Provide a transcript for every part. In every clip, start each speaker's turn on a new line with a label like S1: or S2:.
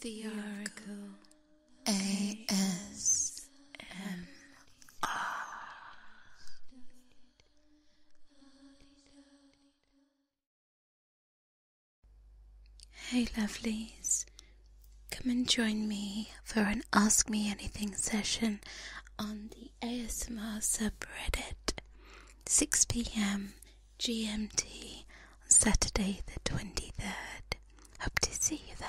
S1: The Oracle ASMR. Hey, lovelies. Come and join me for an Ask Me Anything session on the ASMR subreddit, 6 pm GMT on Saturday the 23rd. Hope to see you there.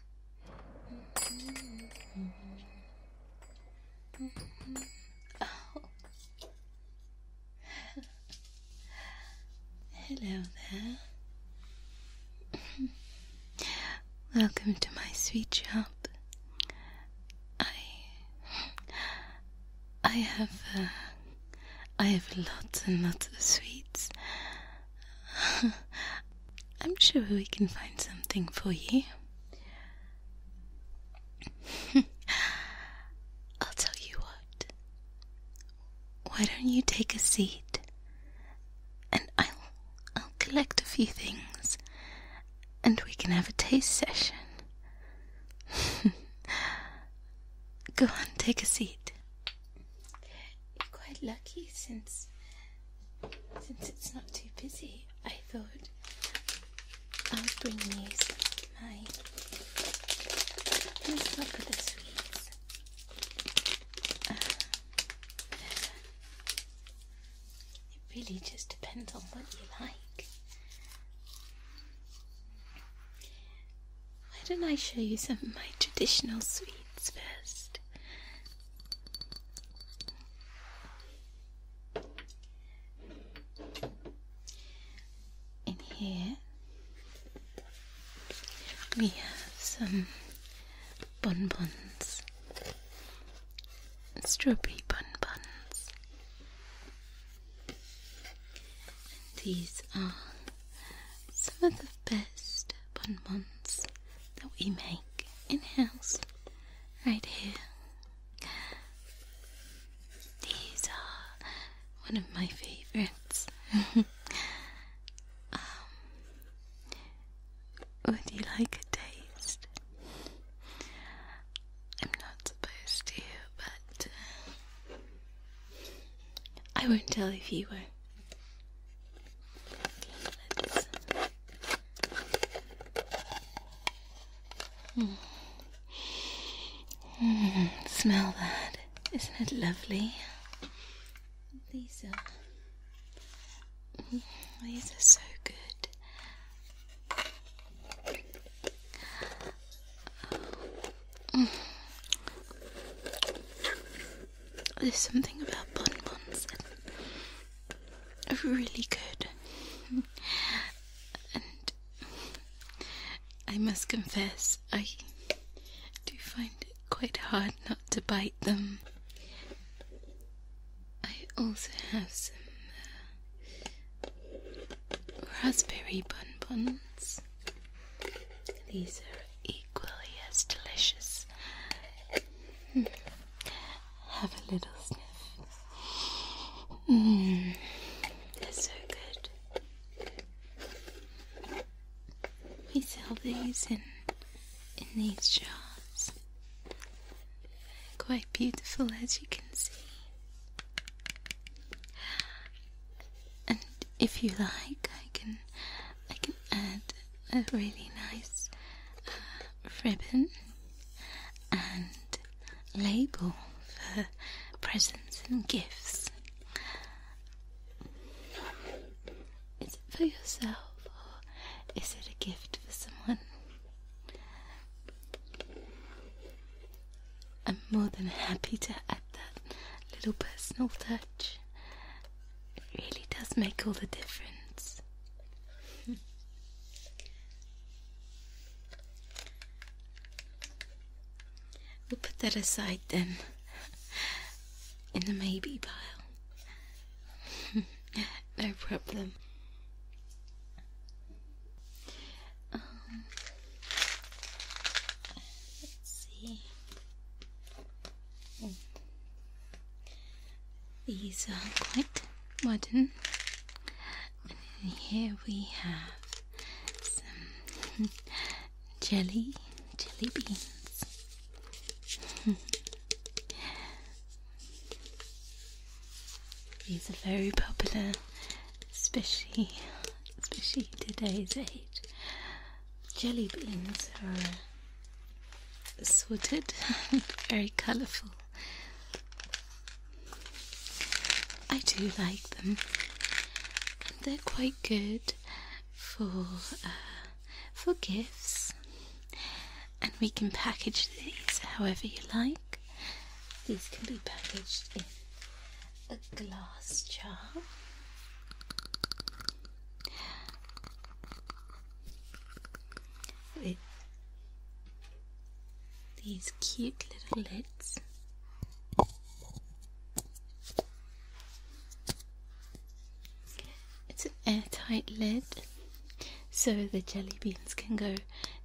S1: Hello there. Welcome to my sweet shop. I I have uh, I have lots and lots of sweets I'm sure we can find something for you. I'll tell you what. Why don't you take a seat and I'll I'll collect a few things and we can have a taste session. Go on, take a seat. You're quite lucky since since it's not too busy. I thought I'll bring you my let's look sweets. Uh, it really just depends on what you like. Why don't I show you some of my traditional sweets first? In here we have some bonbons, strawberry bonbons. And these are some of the best bonbons that we make in house right here. These are one of my favorites. Um, would you like a taste? I'm not supposed to, but uh, I won't tell if you won't hmm. smell that. Isn't it lovely? These hmm. are these are so good. There's something about bonbons that are really good. And I must confess, I do find it quite hard not to bite them. I also have some uh, raspberry bonbons. These are equally as delicious. Hmm. Have a little sniff. Mm. They're so good. We sell these in in these jars. quite beautiful as you can see. And if you like, I can I can add a really nice uh, ribbon and label for presents and gifts. Is it for yourself or is it a gift for someone? I'm more than happy to add that little personal touch it really does make all the difference. we'll put that aside then, in the maybe pile. no problem. Um, let's see. Mm. These are quite modern. here we have some jelly, jelly beans. These are very popular, especially especially today's age. Jelly beans are sorted, very colourful. I do like them, and they're quite good for uh, for gifts. And we can package these however you like. These can be packaged in a glass jar these cute little lids. It's an airtight lid so the jelly beans can go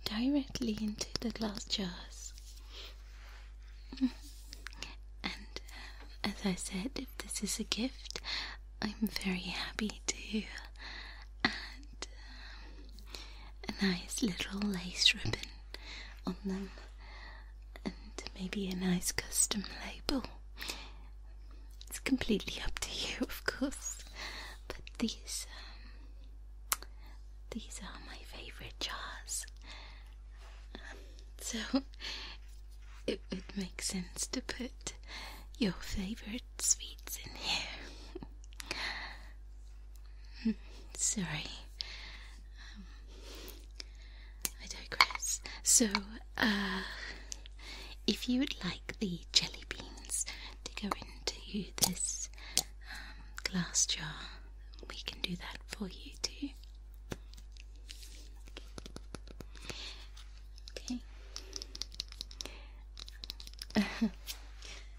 S1: directly into the glass jars. And um, as I said, if this is a gift, I'm very happy to And um, a nice little lace ribbon on them and maybe a nice custom label. It's completely up to you, of course, but these. Um, these are my favourite jars. so, it would make sense to put your favorite sweets in here. Hmm, sorry. Um, I digress. So, uh, if you would like the jelly beans to go into this um, glass jar, we can do that for you too. Okay. and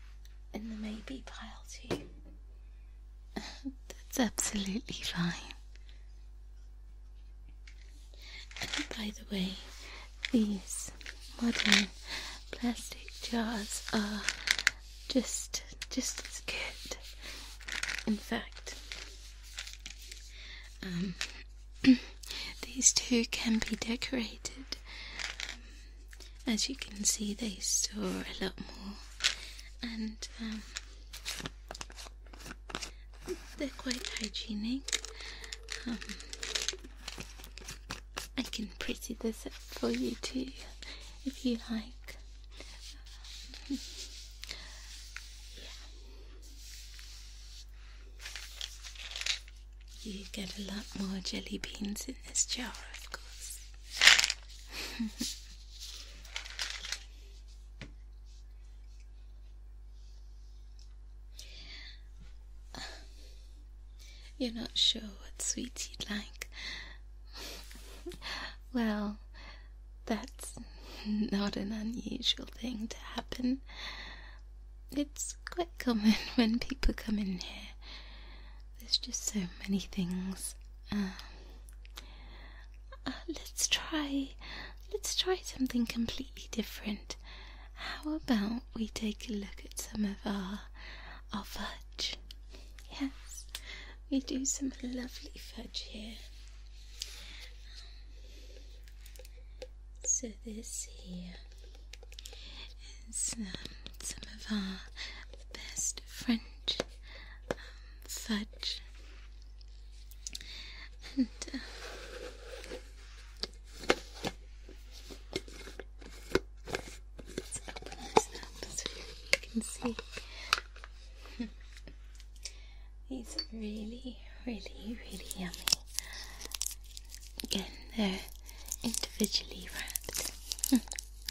S1: the maybe pile too. That's absolutely fine. And by the way, these modern plastic jars are just just as good. In fact, um, These two can be decorated. Um, as you can see, they store a lot more, and um, they're quite hygienic. Um, I can pretty this up for you too, if you like. You get a lot more jelly beans in this jar, of course. You're not sure what sweets you'd like. well, that's not an unusual thing to happen. It's quite common when people come in here. There's just so many things. Um, uh, let's try. Let's try something completely different. How about we take a look at some of our our fudge? Yes, we do some lovely fudge here. So this here is um, some of our best French um, fudge, uh, let's open this up so you can see. These are really, really, really yummy. Again, they're individually wrapped.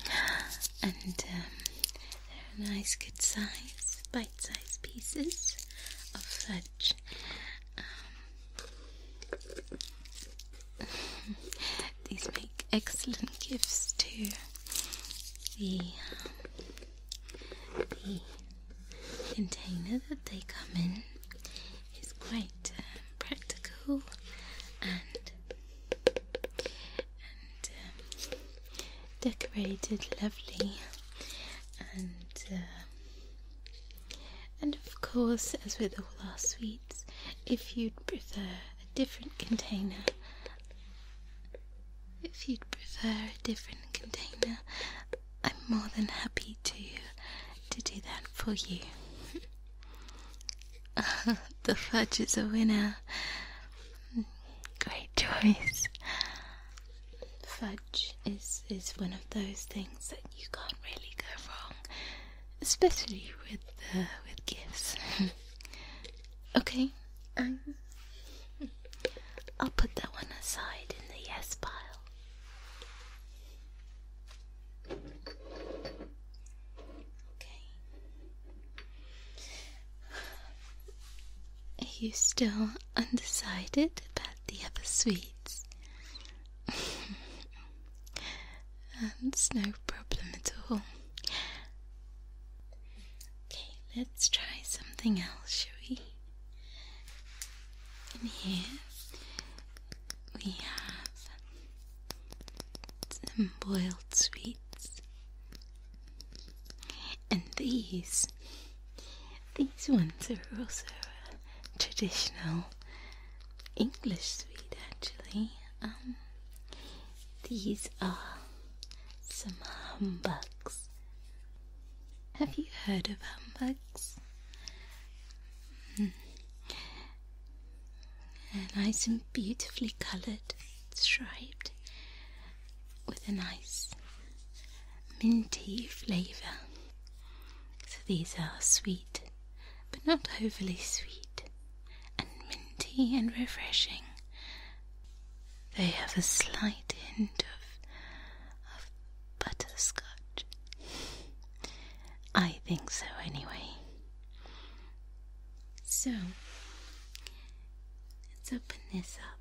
S1: and um, they're nice, good size, bite sized pieces of fudge. Um, these make excellent gifts to the, um, the container that they come in is quite um, practical and um, decorated lovely and uh, and of course as with all our sweets if you'd prefer a different container if you'd prefer a different container I'm more than happy to to do that for you. the fudge is a winner. Great choice. Fudge is is one of those things that you can't really go wrong, especially with uh, with gifts. okay. Um, I'll put that one aside in the yes pile. Okay. Are you still undecided about the other sweets? That's no problem at all. Okay, let's try something else, shall we? And here we have some boiled sweets. And these, these ones are also a traditional English sweet actually. Um, these are some humbugs have you heard of humbugs? Hmm. Nice and beautifully coloured, striped, with a nice minty flavour. So these are sweet, but not overly sweet, and minty and refreshing. They have a slight hint of butterscotch. I think so, anyway. So, let's open this up.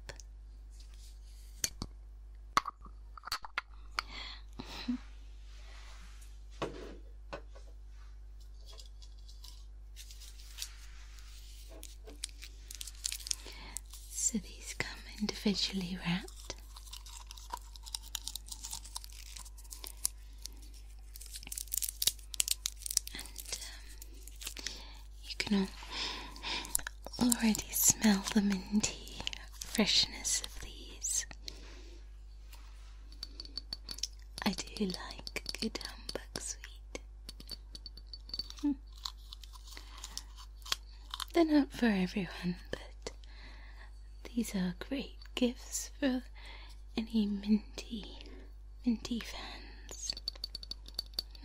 S1: so, these come individually wrapped. Um, you can already smell the minty freshness of these. I do like a good humbug sweet. Hmm. They're not for everyone, but these are great gifts for any minty, minty fans.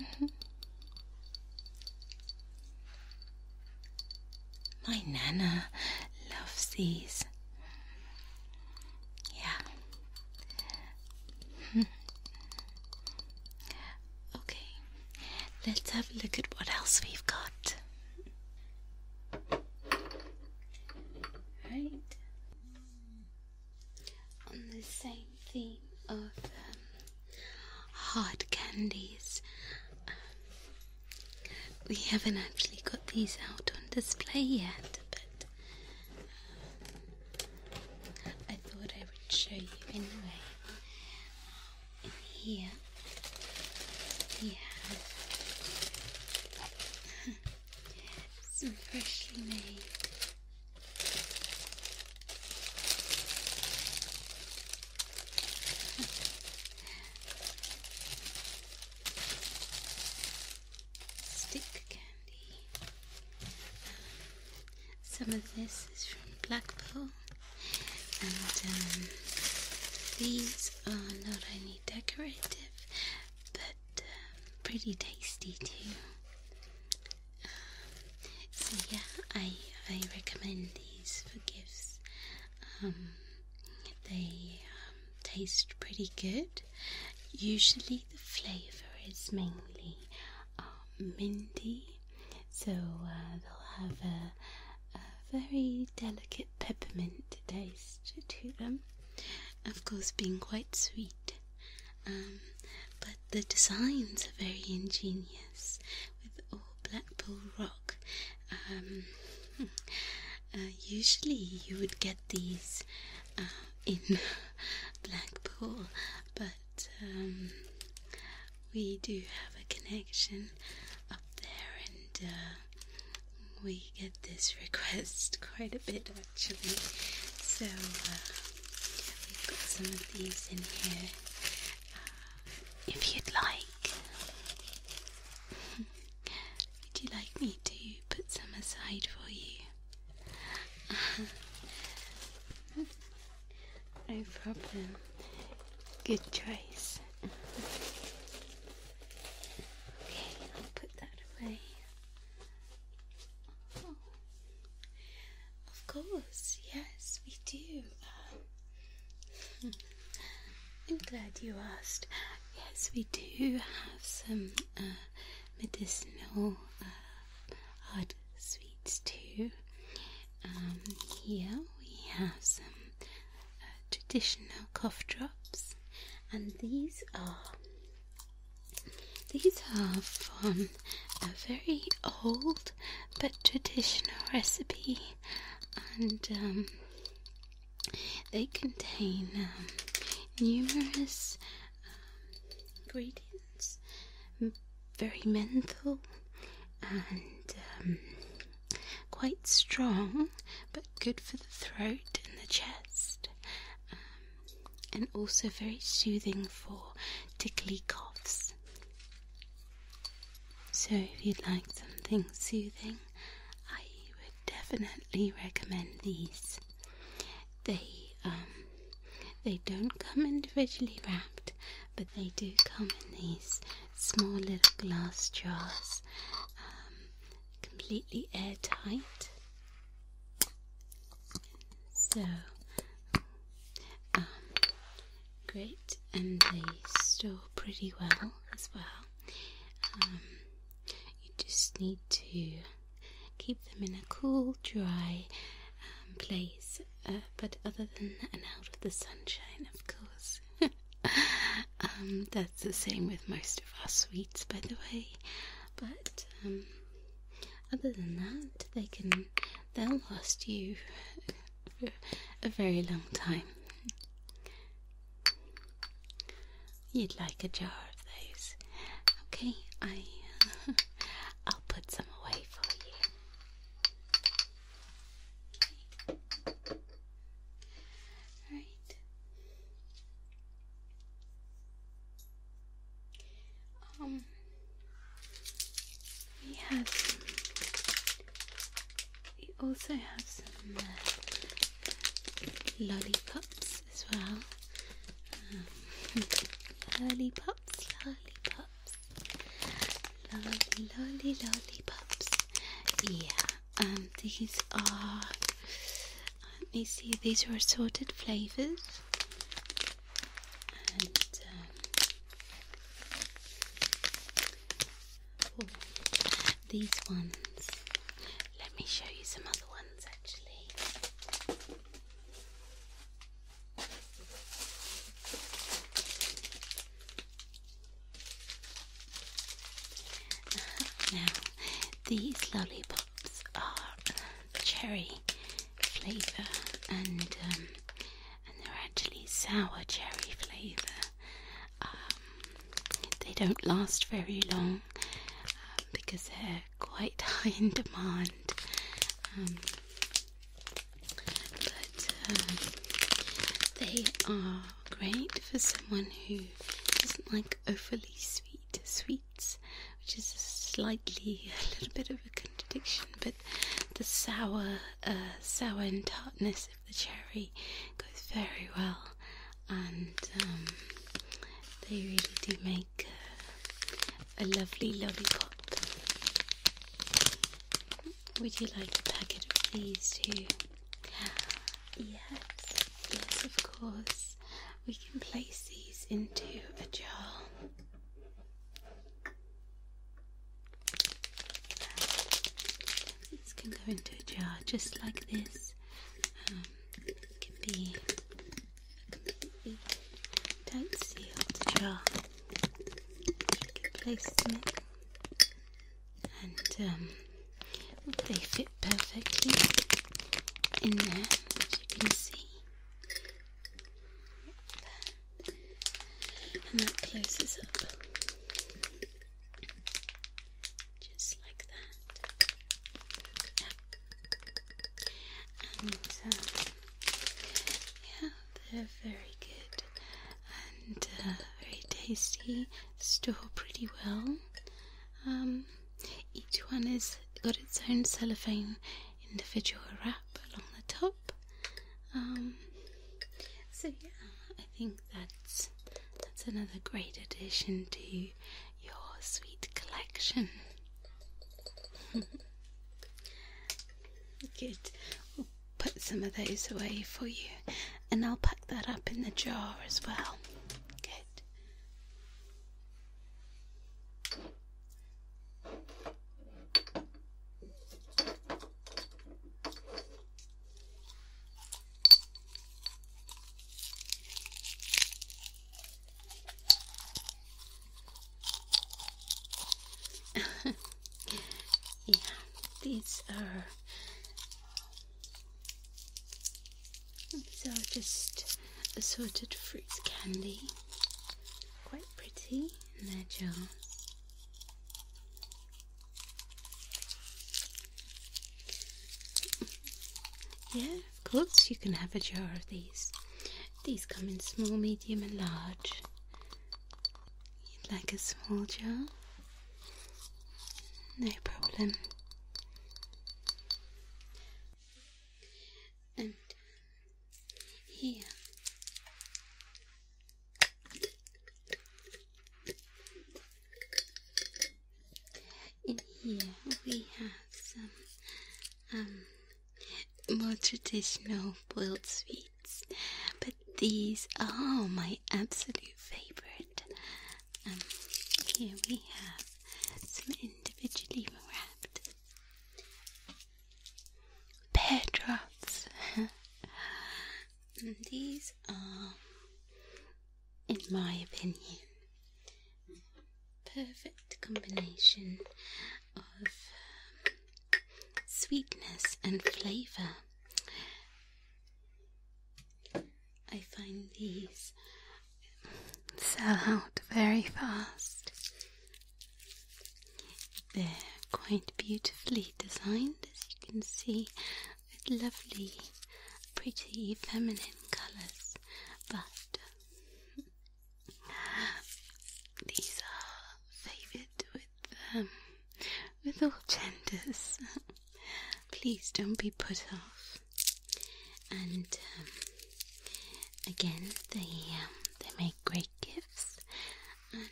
S1: Mm-hmm. My Nana loves these. Yeah. Hmm. Okay, let's have a look at what else we've got. Right, on the same theme of um, hard candies, um, we haven't actually got these out on display yet, but um, I thought I would show you anyway here we have some freshly made stick candy. Um, some of this is from Blackpool. Um, these are not only decorative but um, pretty tasty too. Um, so yeah, I I recommend these for gifts. they taste pretty good. Usually the flavour is mainly uh, minty so uh, they'll have a, very delicate peppermint taste to them, of course, being quite sweet. Um, but the designs are very ingenious with all Blackpool rock. Um, uh, usually, you would get these uh, in Blackpool, but um, we do have a connection up there, and uh, we get this request quite a bit actually. So uh, we've got some of these in here, uh, if you'd like. Would you like me to put some aside for you? No problem. Good choice. Okay, I'll put that away. Oh. Of course, yes, we do. Um, I'm glad you asked. Yes, we do have some uh, medicinal uh, hard sweets too. Um, here we have some uh, traditional cough drops, and these are these are from a very old but traditional recipe, and um, they contain um, numerous ingredients, very mental and quite strong, but good for the throat and the chest, um, and also very soothing for tickly coughs. So, if you'd like something soothing, I would definitely recommend these. They um, they don't come individually wrapped but they do come in these small little glass jars, um, completely airtight. So, um, great, and they store pretty well as well. Um, you just need to keep them in a cool, dry place, uh, but other than and out of the sunshine, of course. Um, that's the same with most of our sweets, by the way. But um, other than that, they can they'll last you a very long time. You'd like a jar of those. Okay, I I'll put some away for you. Right. Um, we have some, we also have some uh, lollipops as well. Um, lollipops, lollipops. Lolly, lolly, lolly pops. Yeah, and um, these are. Let me see, these are assorted flavors. And, um, these ones. Let me show you some other ones actually now, these lollipops are cherry flavour and um, and they're actually sour cherry flavour. Um, they don't last very long um, because they're quite high in demand but um, they are great for someone who doesn't like overly sweet sweets, which is a slightly a little bit of a contradiction. But the sour, uh, sour and tartness of the cherry goes very well, and um, they really do make. a lovely lollipop. Would you like a packet of these too? Yes, yes, of course. We can place these into a jar. These can go into a jar just like this. Um, it can be a tight sealed jar. You place them in and they um, fit perfectly in there, as you can see. Yep. And that closes up just like that. And um, yeah, they're very good and uh, very tasty. Store pretty well. Um, each one has got its own cellophane individual wrap along the top. Um, so yeah, I think that's that's another great addition to your sweet collection. good put some of those away for you, and I'll pack that up in the jar as well. Good. Yeah, these are these are just assorted fruits candy. Quite pretty in their jar. Yeah, of course you can have a jar of these. These come in small, medium and large. You'd like a small jar? No problem. And here. In here we have some um, more traditional boiled sweets but these are my absolute favorite. Um, here we have some individually wrapped pear drops. and these are, in my opinion, perfect combination of um, sweetness and flavour. I find these sell out very fast. They're quite beautifully designed, as you can see, with lovely, pretty, feminine colours. But these are favoured with all genders. Please don't be put off. And um, again, they um, they make great gifts,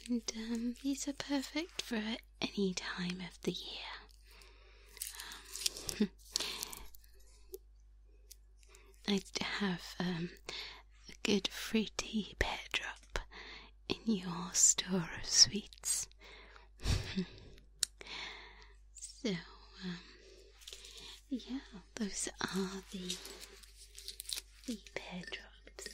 S1: and um, these are perfect for any time of the year. Um, I have um, a good fruity pear drop in your store of sweets. so, um, yeah, those are the the pear drops.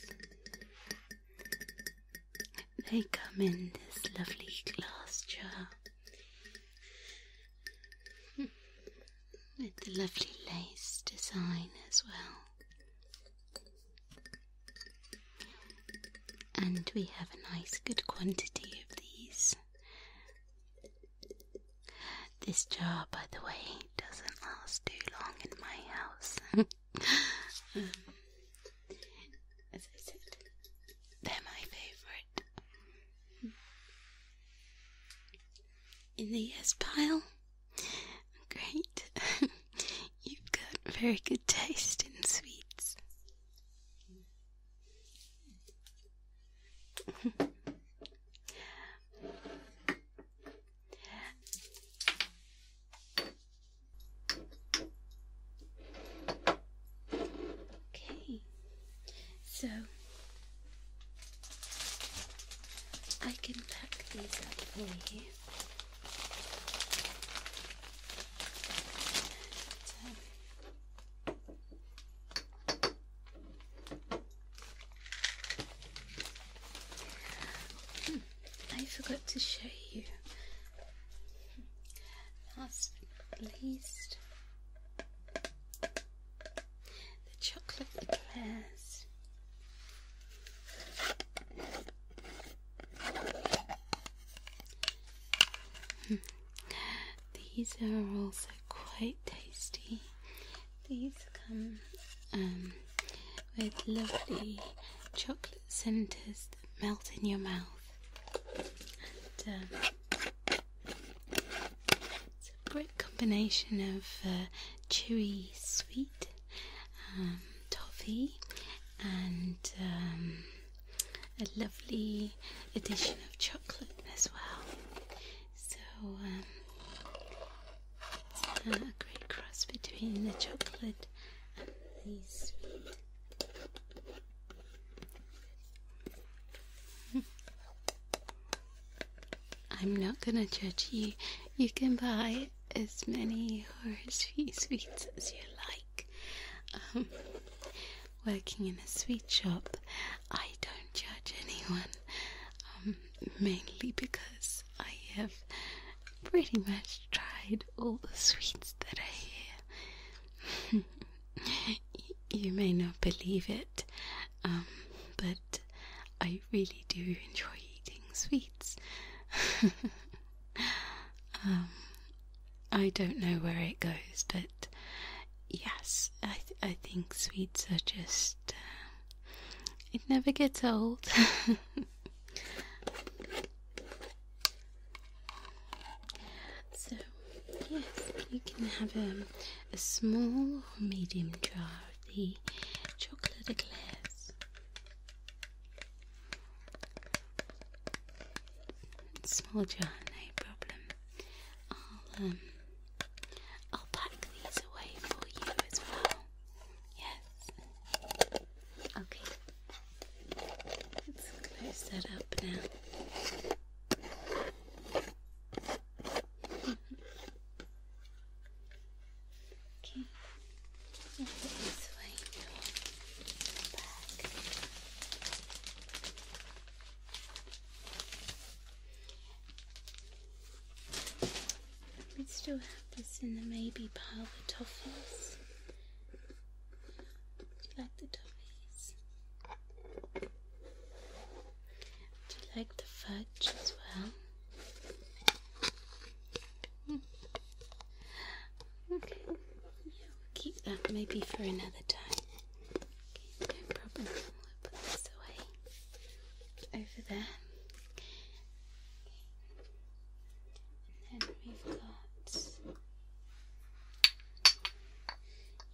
S1: They come in this lovely glass jar hmm. with the lovely lace design as well. And we have a nice good quantity of these. This jar, by the way, doesn't last too long in my house. Mm. as I said, they're my favourite. In the yes pile. Great. You've got very good taste in sweets. okay, so I can pack these up for you. Hmm, I forgot to show you. Last but least, the chocolate eclairs. These are also quite tasty. These come um, with lovely chocolate centres that melt in your mouth. Um, it's a great combination of uh, chewy sweet um, toffee, and um, a lovely addition of chocolate as well. So um, a great cross between the chocolate and the sweet. I'm not gonna judge you. You can buy as many or as few sweets as you like like. Um, working in a sweet shop, I don't judge anyone, um, mainly because I have pretty much tried all the sweets that are here. you may not believe it, um, but I really do enjoy eating sweets. Um, I don't know where it goes, but yes, I I think sweets are just uh, it never gets old. so yes, you can have um, a small or medium jar of the chocolate eclairs. Small jar, no problem. I'll um, I'll pack these away for you as well. Yes. Okay. Let's close that up now. okay. We still have this in the maybe pile, the toffees. Do you like the toffees? Do you like the fudge as well? Okay, yeah, we'll keep that maybe for another time. no problem. We'll put this away over there. then we've got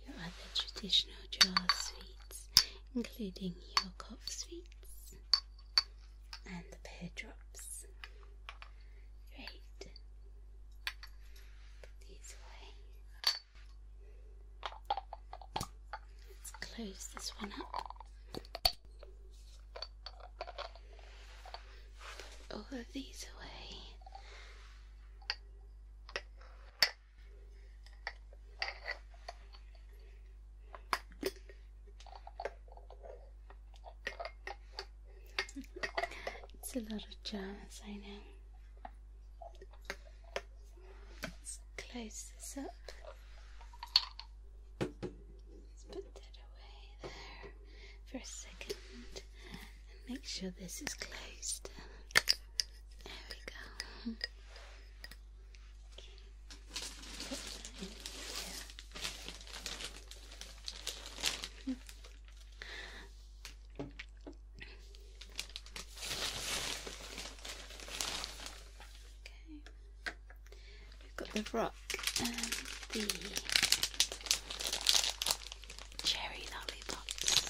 S1: your other traditional jar sweets, including your cough sweets and the pear drops. Great. Put these away. Let's close this one up. Put all of these away it's a lot of jazz, I know. Let's close this up. Let's put that away there for a second and make sure this is closed. There we go. Okay. Okay. We've got the rock and the cherry lollipops.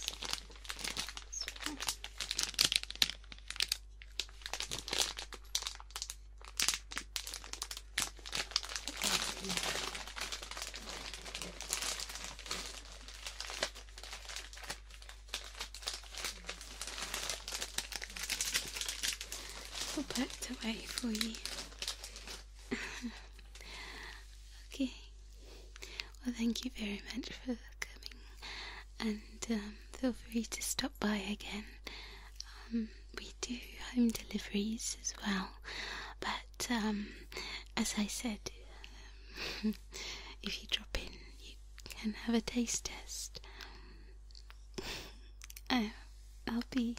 S1: All packed away for you. okay. Well, thank you very much for coming, and um, feel free to stop by again. Um, we do home deliveries as well, but but um, as I said, if you drop in, you can have a taste test. I, will uh, be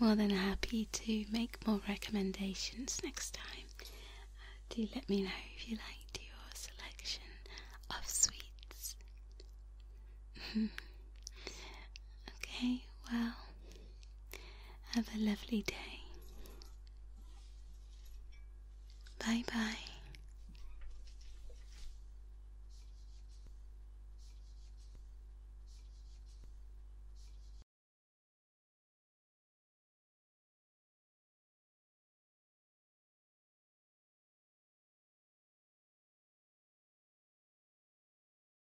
S1: more than happy to make more recommendations next time. Uh, do let me know if you liked your selection of sweets. Okay, well, have a lovely day. Bye bye.